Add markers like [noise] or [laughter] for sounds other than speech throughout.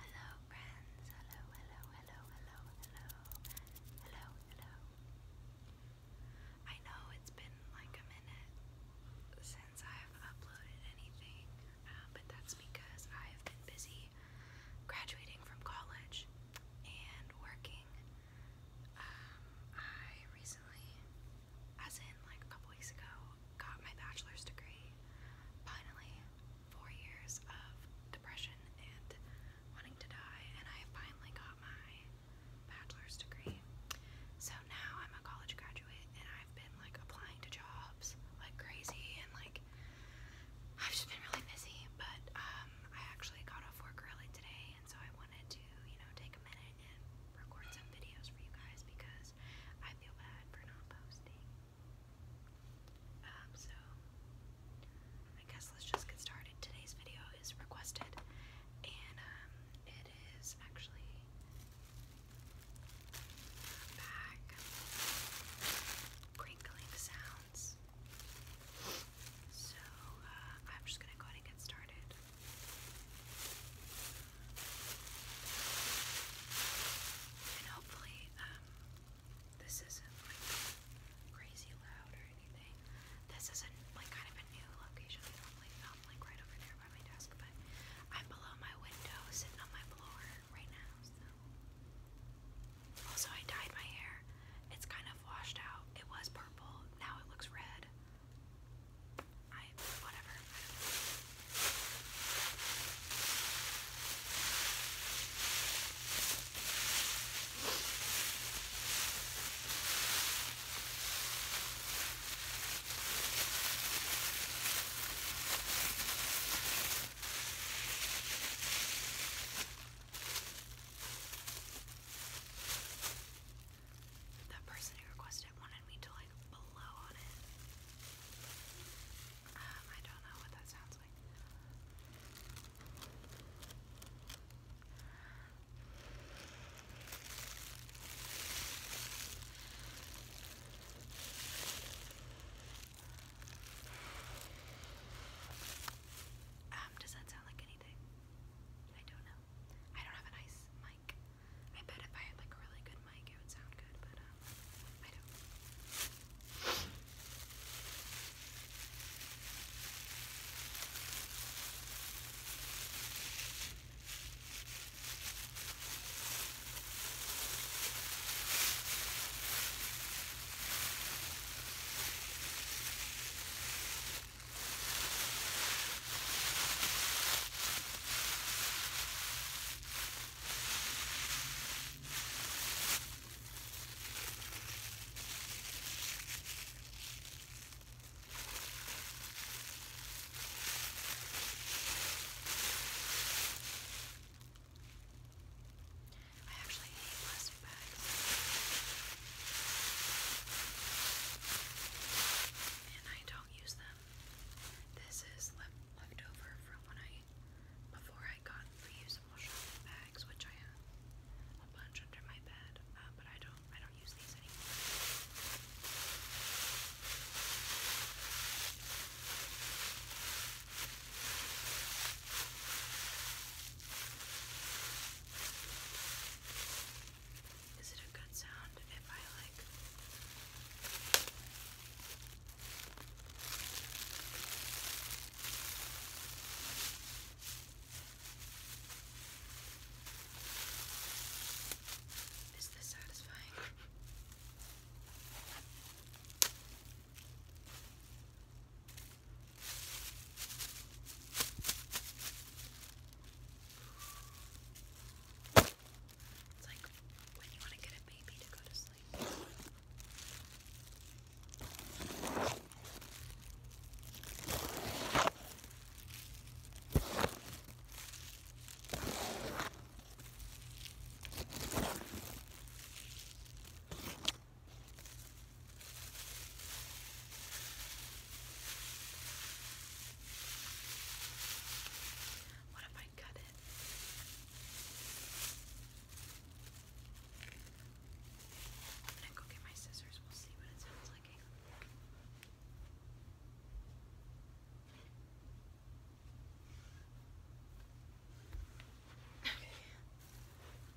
Hello, friends. Hello, hello, hello, hello, hello, hello, hello. I know it's been like a minute since I've uploaded anything, uh, but that's because I have been busy graduating from college and working. Um, I recently, as in like a couple weeks ago, got my bachelor's degree. Finally, four years of depression and wanting to die, and I finally got my bachelor's degree. So now I'm a college graduate, and I've been like applying to jobs like crazy, and like I've just been really busy. But um, I actually got off work early today, and so I wanted to, you know, take a minute record some videos for you guys because I feel bad for not posting. Um, so I guess let's just get started. Today's video is requested, and um, it is actually back crinkling sounds. So uh, I'm just gonna go ahead and get started. And hopefully, um, this isn't like crazy loud or anything. This isn't like kind of a new location. I normally film like right over there by my desk, but I'm below my window, sitting on my floor right now. Also, I dyed my hair. It's kind of washed out. It was purple. Now it looks red. I whatever. I don't know the person who requested it wanted me to like blow on it. Um, I don't know what that sounds like. Um, does that sound like anything? I don't know. I don't have a nice mic mic. I bet if I had like a really good mic, it would sound good, but um, I don't. I actually hate plastic bags. And I don't use them. This is left leftover from when I before I got reusable shopping bags, which I have a bunch under my bed, uh, but I don't I don't use these anymore. Is it a good sound if I like Is this satisfying? It's like when you want to get a baby to go to sleep. What if I cut it? I'm gonna go get my scissors, we'll see what it sounds like. Okay.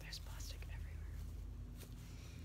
There's plastic everywhere.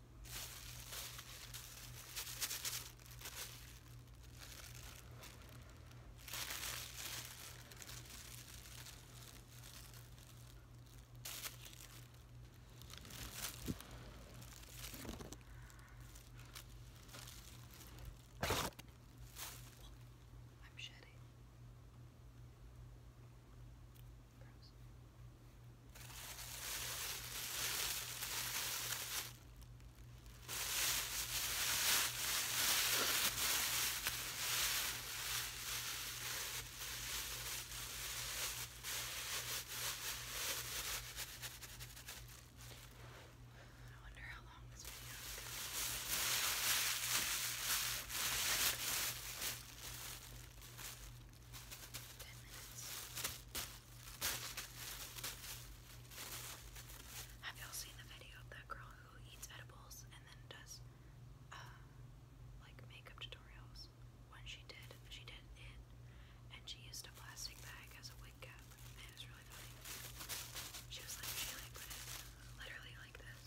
I'm shedding. Gross. I wonder how long this video is going to be ten minutes. Have y'all seen the video of that girl who eats edibles and then does uh, like makeup tutorials? When she did, she did it, and she used a plastic bag as a wig cap. And it was really funny. She was like, she like put it literally like this.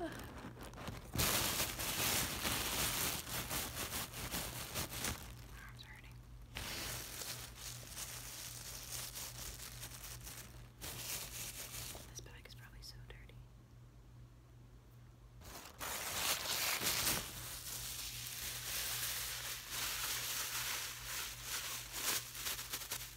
Arms hurting. This bag is probably so dirty.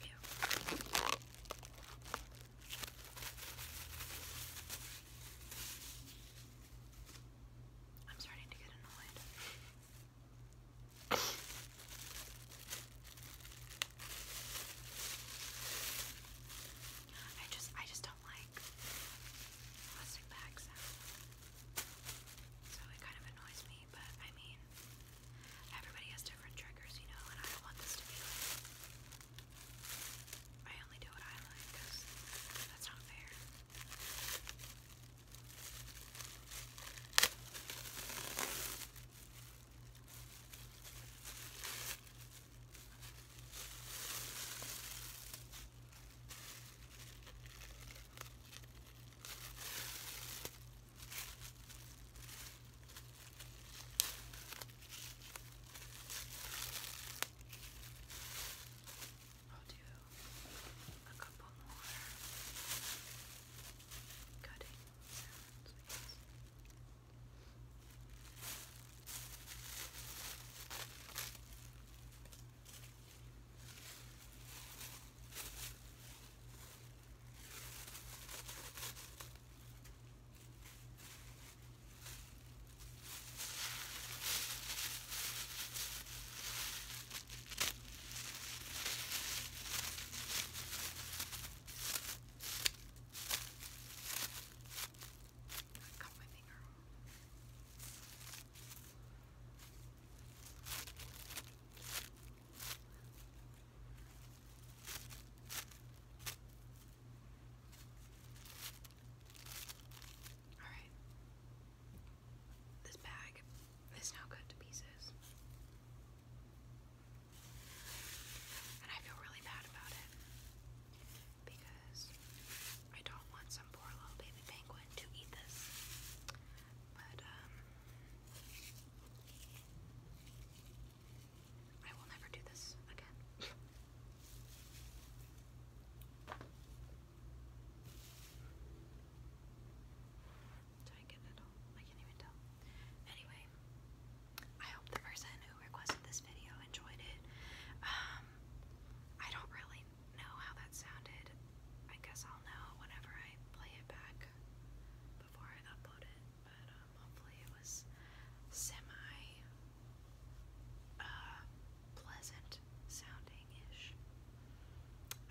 Yeah. I'm starting to get annoyed. I just I just don't like plastic bags. So it kind of annoys me me, but I mean, everybody has different triggers, you know, and I don't want this to be like, I only do what I like, that's not fair. I'll do a couple more cutting sounds. I I cut my finger. All right. This bag is now cut to pieces. And I feel really bad about it because I don't want some poor little baby penguin to eat this. But, um, I will never do this again. [laughs] Did I get it all? I can't even tell. Anyway, I hope the person who requested this video enjoyed it. Um, I don't really know how that sounded. I guess I'll know whenever I play it back before I upload it, but um, hopefully it was semi uh, pleasant sounding ish.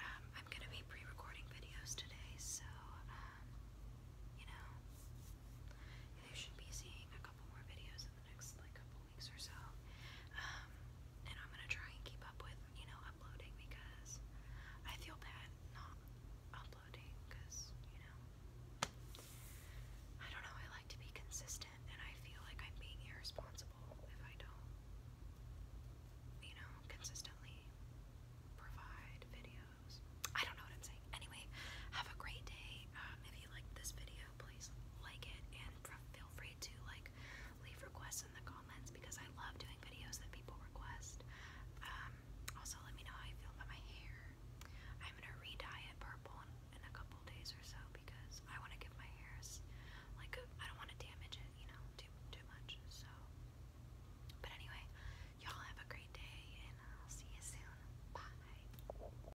Um, I'm gonna be pre recording videos today, so um, you know, you should be seeing a couple more videos next like couple weeks or so. Um, and I'm gonna try and keep up with you know uploading because I feel bad not uploading because you know I don't know. I like to be consistent, and I feel like I'm being irresponsible if I don't you know consistently provide videos. I don't know what I'm saying. Anyway, have a great day. Uh, if you liked this video, please like it and feel free to like leave requests in the comments because I love doing videos that people request. Um, also, let me know how you feel about my hair. I'm gonna re it purple in, a couple days or so because I want to give my hair like a, I don't want to damage it, you know, too too much. So, but anyway, y'all have a great day, and I'll see you soon. Bye.